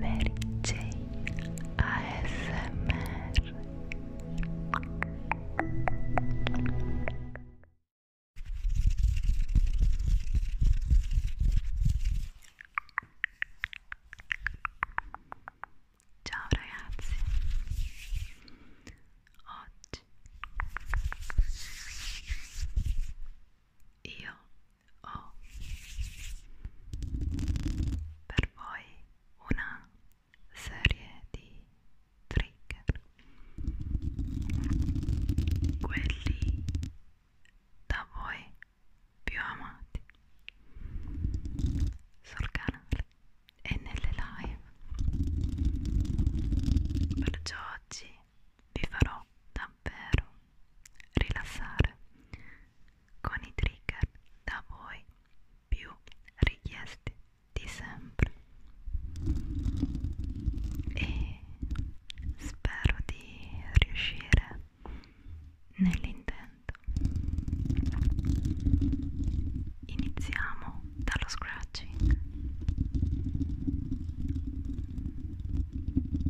Mary Jane ASMR Ciao ragazzi Oggi io ho oh. per voi una serie di trigger quelli da voi più amati sul canale e nelle live perciò oggi vi farò davvero rilassare con i trigger da voi più richiesti di sempre e spero di riuscire nell'intento iniziamo dallo scratching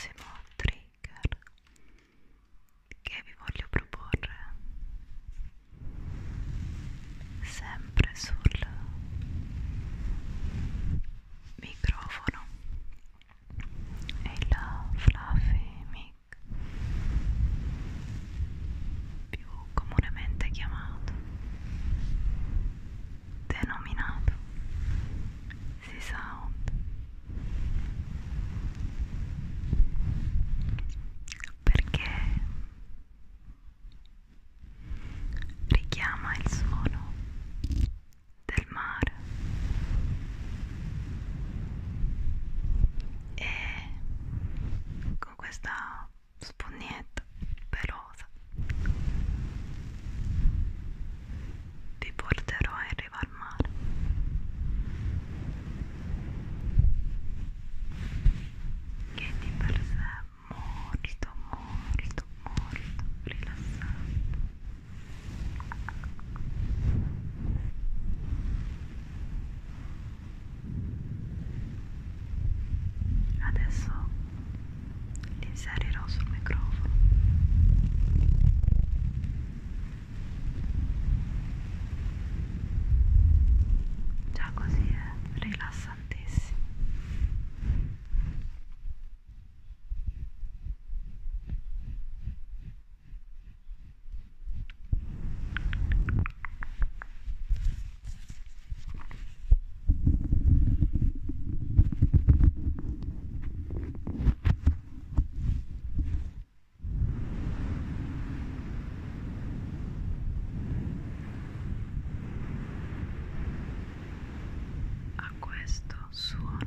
prossimo trigger che vi voglio proporre sempre sul microfono e il fluffy mic più comunemente chiamato denominato Sea Sound perché richiama il suono del mare e con questa spugnetta però cosa vi porterò in riva al mare che di per sé è molto molto molto rilassante adesso li inserirò sul microfono già così è rilassantissimo a questo suono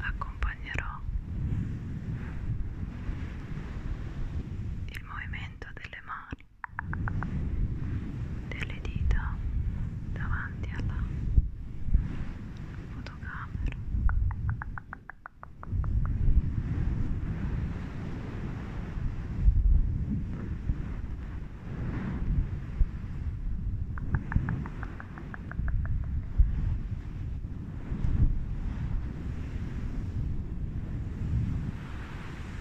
accompagnerò il movimento delle mani delle dita davanti alla fotocamera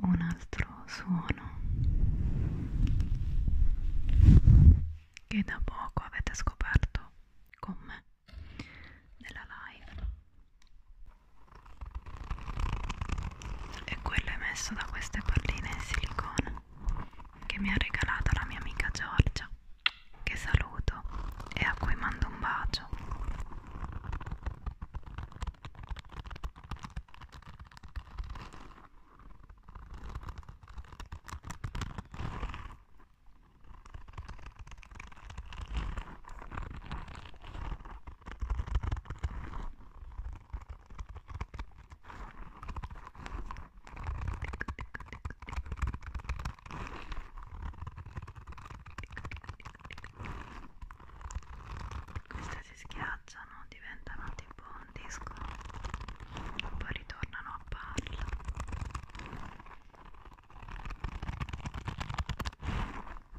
un altro suono che da poco avete scoperto con me nella live e quello emesso da queste palline in silicone che mi ha regalato la mia amica Giorgia che saluto e a cui mando un bacio queste si schiacciano, diventano tipo un disco, poi ritornano a palla.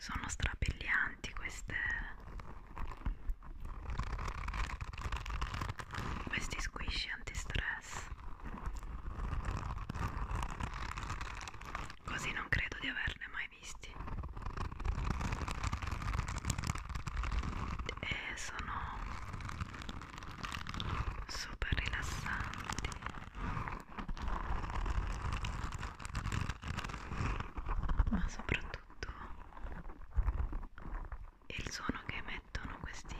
Sono strabilianti queste questi squishy antistress. Così non credo di averne mai mai visti e sono super rilassanti ma soprattutto il suono che emettono questi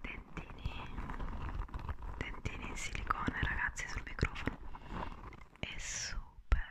dentini dentini in silicone ragazzi sul microfono è super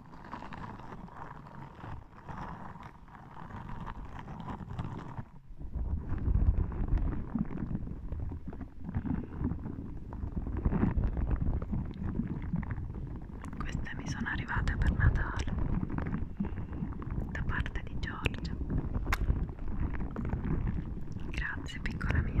Queste mi sono arrivate per Natale da parte di Giorgia. Grazie piccola mia.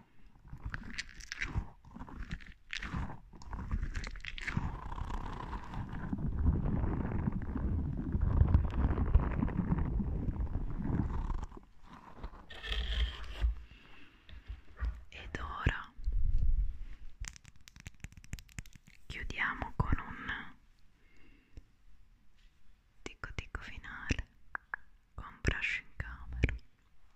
Ed ora chiudiamo con un ticco ticco finale con brush in camera